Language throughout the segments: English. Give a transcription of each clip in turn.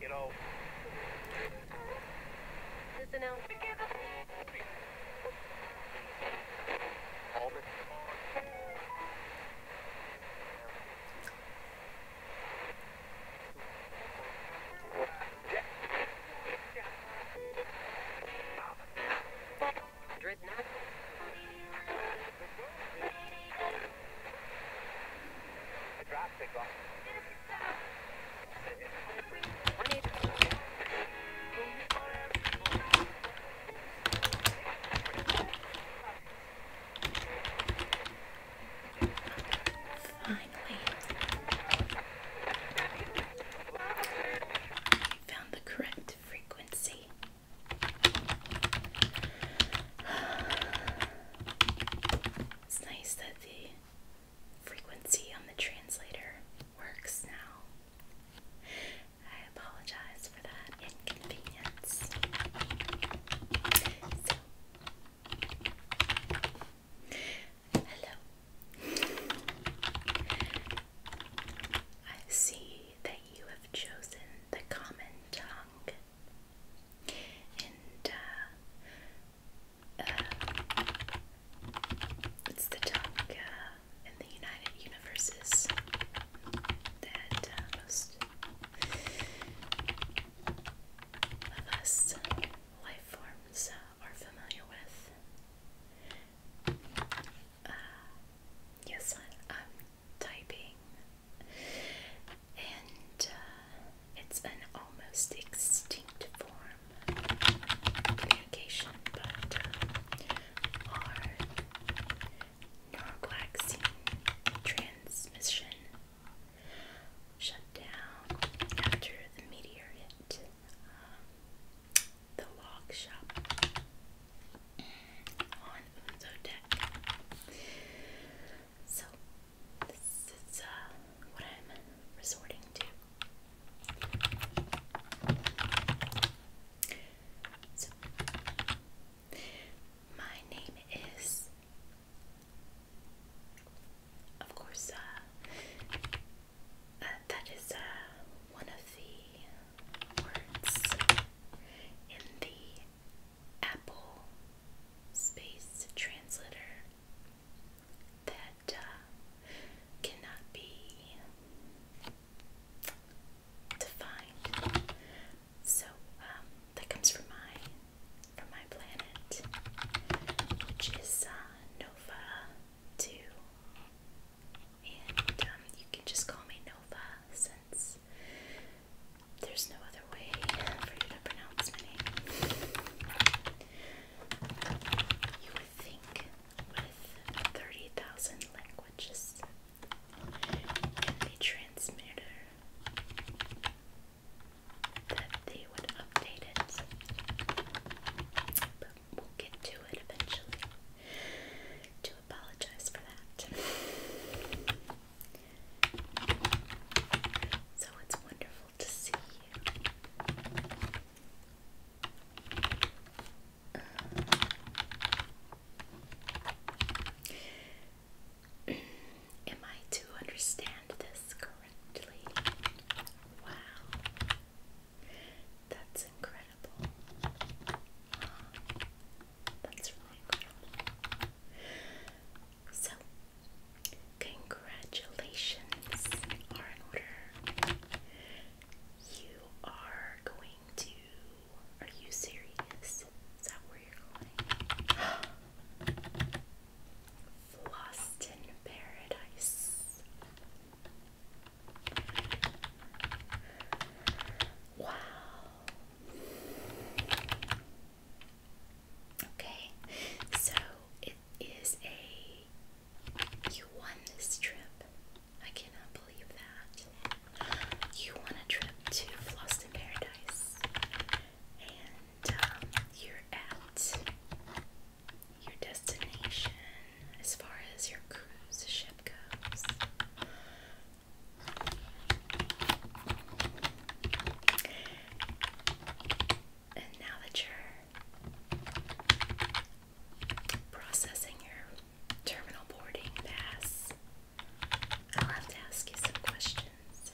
you know. Listen out. Dreadnought. Finally, I found the correct frequency. It's nice that the frequency on the translator works now. I apologize for that inconvenience. So, hello. I see that you have chosen the common tongue uh, uh, it's the tongue uh, in the United Universes that uh, most life forms are familiar with. yes, I'm typing and uh, it's an almost extinct form of communication, but uh, our neuroglycine transmission shut down after the meteor hit um, the log shop on Unzo Deck. So this is uh, what I'm resorting to. So my name is, of course, uh, uh that is uh, one of the words in the Apple Space Translator that uh, cannot be defined. So um, that comes from my from my planet, which is uh, Nova Two, and um, you can just call me Nova since there's no other way for you to pronounce my name. You would think with 30,000 languages a transmitter that they would update it. we'll get to it eventually. To apologize for that. So it's wonderful to see you. am I to understand this correctly? Wow. That's incredible. So, congratulations are in order. You are going to. Are you serious? Is that where you're going? Lost in paradise. Wow. Okay, so it is a. You won this trip. I cannot believe that. You won a trip to Flosston Paradise. And um, you're at your destination as far as your cruise ship goes. And now that you're processing your terminal boarding pass, I'll have to ask you some questions.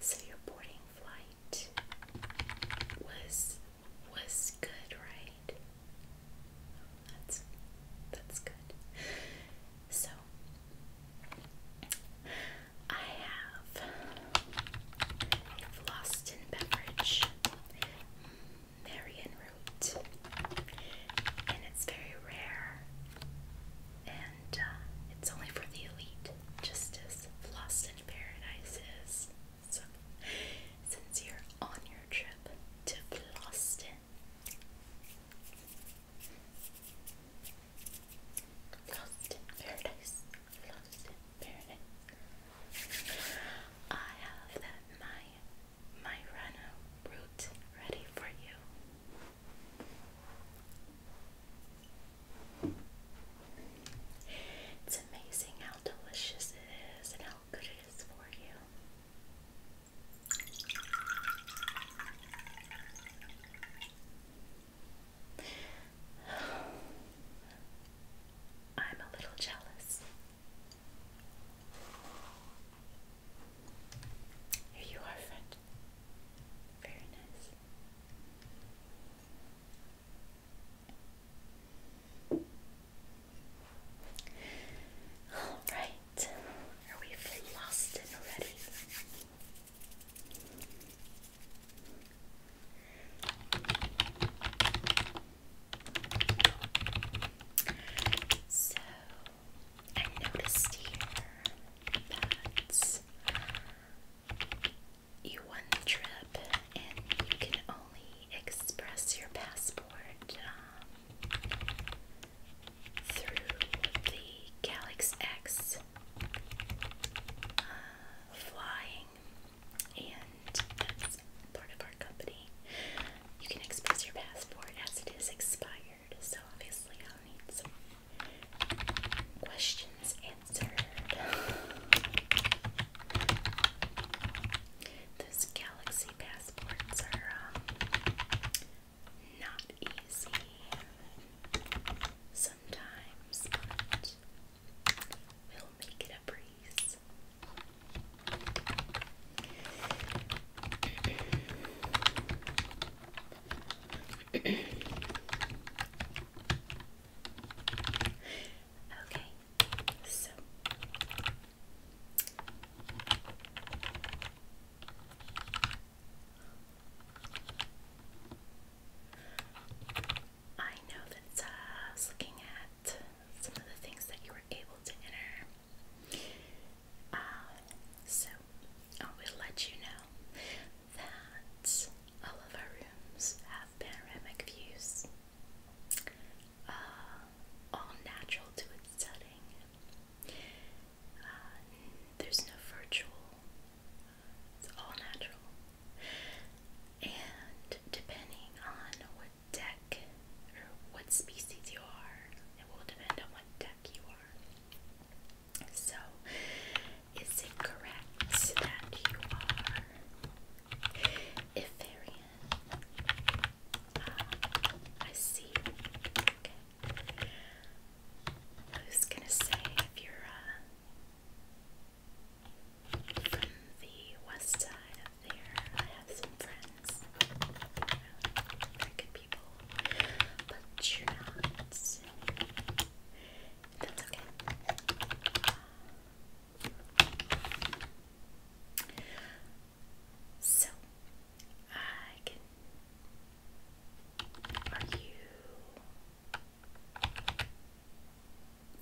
So your boarding flight was was good, right? That's that's good. So I have Lost Beverage Marion Root, and it's very rare, and uh, it's only for the elite, just as Lost Paradise is. So, since you're on your trip, to Boston. Lost Paradise. Lost Paradise. I have that my my Rano route ready for you. It's amazing how delicious it is and how I'm a little jealous. Here you are, friend. Very nice. Alright, are we flustered already? So, I noticed here that you won the trip and you can express your passport um, through the Galaxy X uh, flying, and that's part of our company. You can express your passport as it is expired, so obviously I'll need some questions answered. This galaxy passports are um, not easy sometimes, but we'll make it a breeze. okay, so I know that uh, looking at some of the things that you were able to enter. Uh, so I will let you know that all of our rooms have panoramic views. Uh, all natural to its setting. Uh, there's no virtual, it's all natural. And depending on what deck or what species you are, it will depend on what deck you are. So, is it correct that you are Ivarian. Uh, I see. Okay. I was gonna say if you're uh, from the west side up there, I have some friends, uh, people, but you're not. That's okay. So I can. Are you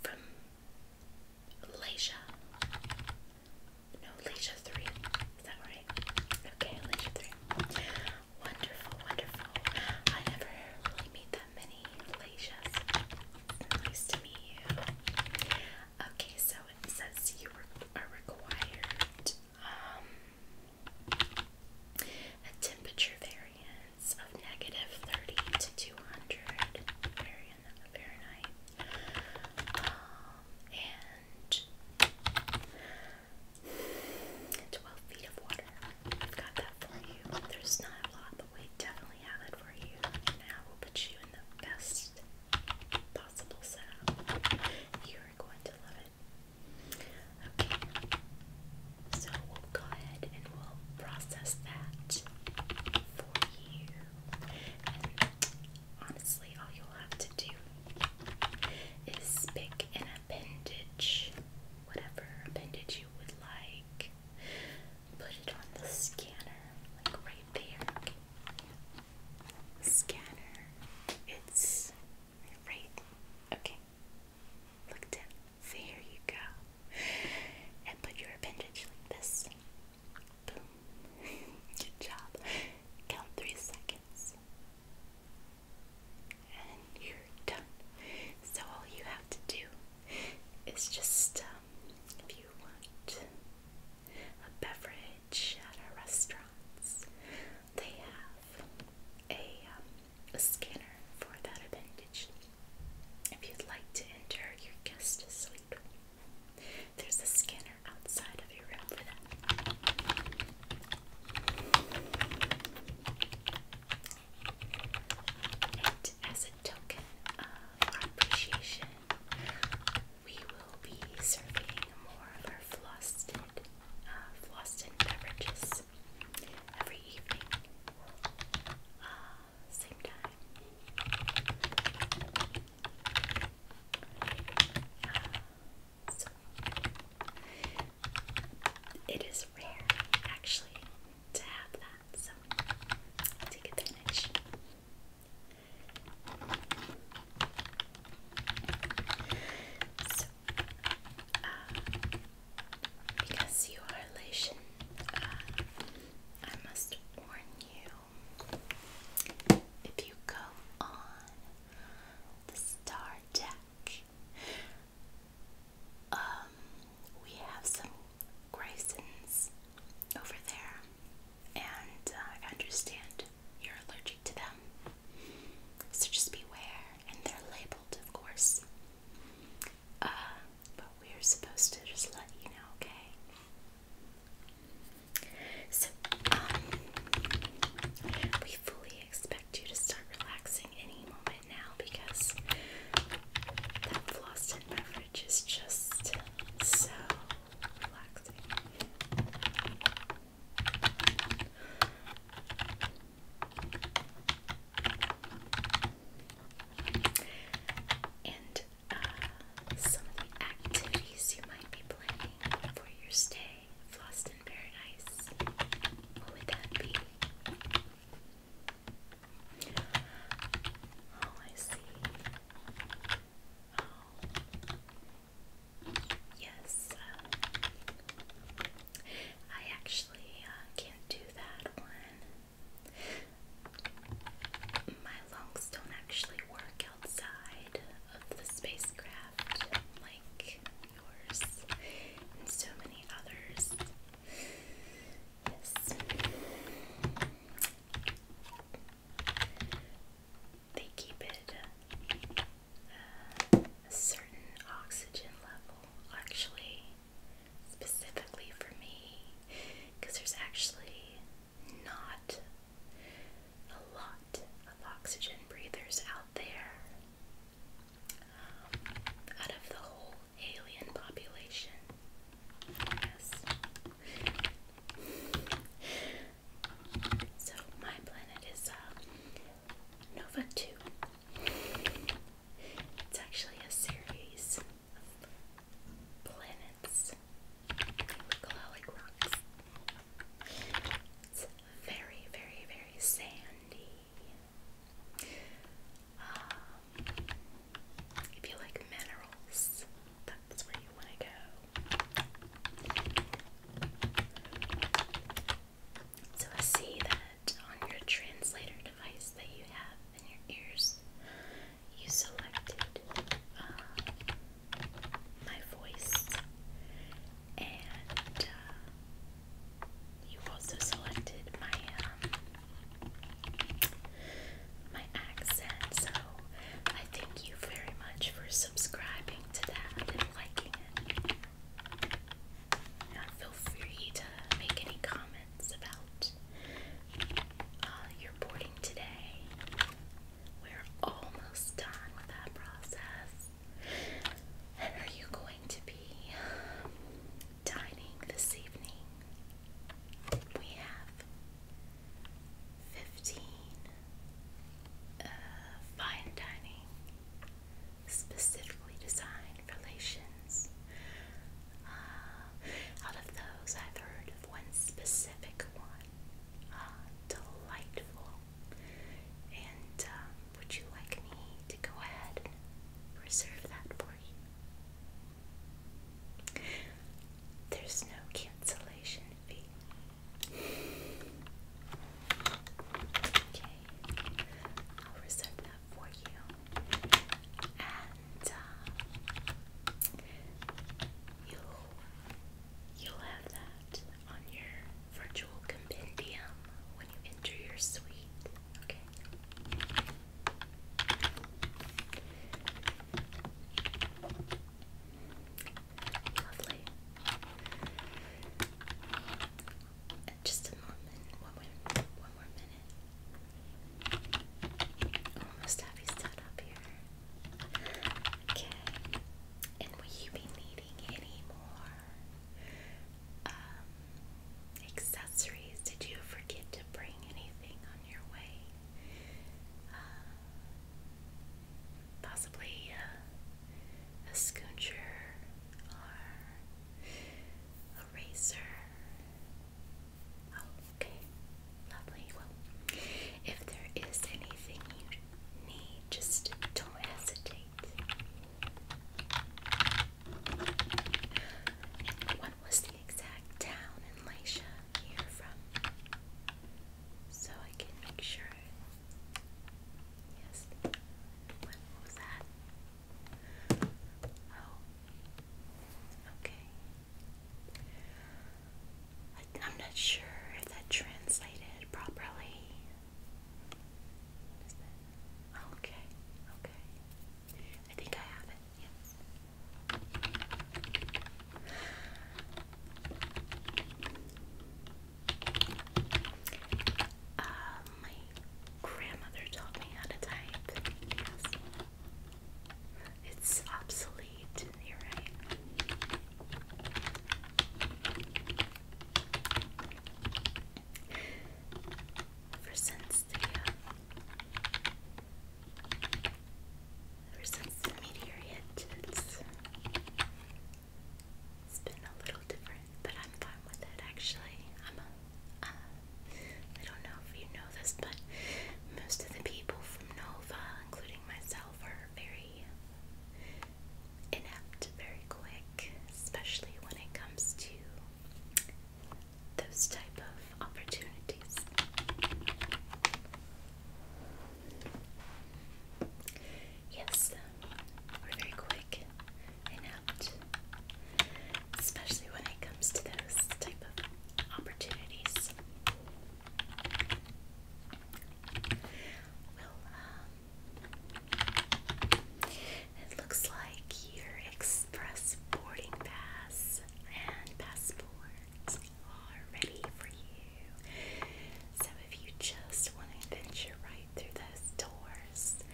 from Leisha? No, Leisha three. Is that right? Okay, Leisha three. Wonderful, wonderful. I never really meet that many Nice to meet you. Okay, so it says you are required um, a temperature variance of negative 30 to 200 Fahrenheit. Um, and 12 feet of water. I've got that for you. There's not a lot we definitely have it for you. Now we'll put you in the best possible setup. You are going to love it. Okay, so we'll go ahead and we'll process that for you. And honestly, all you'll have to do is pick an appendage, whatever appendage you would like put it on the scanner, like right there. Scanner, it's right. Okay, look down. There you go. And put your appendage like this. Boom. Good job. Count three seconds. And you're done. So all you have to do is just uh, if you want a beverage at our restaurants, they have a, um, a scanner for that appendage. If you'd like to enter your guest suite, there's a scanner outside of your room for that token of our appreciation, we will be serving more of our flossed, uh, flossed beverages every evening, uh, same time. Uh, so it is rare, actually, to have that that, so take advantage. So, uh, because you are Lation, uh, I must warn you. If you go on the star deck, um, we have some Grayson's over there, and uh, I understand you're allergic to them. So just beware, and they're labeled, of course. Uh, but we're supposed to just let you know, okay? So, um, we fully expect you to start relaxing any moment now because that floss did which is just so relaxing. And uh, some of the activities you might be planning for your stay, Flossed in Paradise. What would that be? Oh, I see. Oh. Yes. Uh, I actually uh, can't do that one. My lungs don't actually work outside of the spacecraft like yours and so many others. Yes. They keep it uh, a certain oxygen level, actually, specifically for me, because there's actually not a lot of oxygen breathers out there. Um, out of the whole alien population. Yes. So my planet is uh, Nova 2. It's actually a series of planets. Look a rocks. It's very, very, very sandy. Um, if you like minerals, that's where you want to go. So I see that on your translator device that you have in your ears, you selected uh, my voice and uh, you also selected my um, my accent, so I thank you very much for subscribing to that and liking it. feel free to make any comments about uh, your boarding today. We're almost done with that process. And are you going to be dining this evening, we have fifteen uh, fine dining specifically designed relations. Uh, out of those, I've heard of one specific one, uh, delightful. And um, would you like me to go ahead and reserve that for there's no cancellation fee. Okay, I'll reserve that for you. And uh, you'll you'll have that on your virtual compendium when you enter your suite. Okay. Lovely. Just a moment. One more, one more minute. Almost have you set up here. Okay. And will you be needing any more um, accessories. Did you forget to bring anything on your way? Uh, possibly a scoocher or a oh, okay, lovely. Well, if there is anything you need, just don't hesitate. And what was the exact town in Lycia here from? So I can make sure. Yes. What, what was that? Oh. Okay. I, I'm not sure if that translated properly okay, okay. I think I have it, yes. Uh, my grandmother taught me how to type. Yes. It's obsolete, right ever since the uh, ever since the meteor hit, it's it's been a little different, but I'm fine with it actually. I'm a, uh, I don't know if you know this, but most of the people from Nova, including myself, are very inept, very quick, especially when it comes to those type of opportunities. Yes, um, we're very quick and apt, especially when it comes to those type of opportunities. Uh, it looks like your express boarding pass and passport are ready for you. So if you just want to venture right through those doors,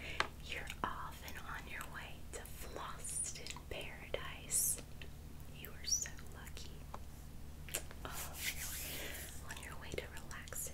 you're off and on your way to Floston Paradise. You are so lucky. Oh, on your way to relaxing.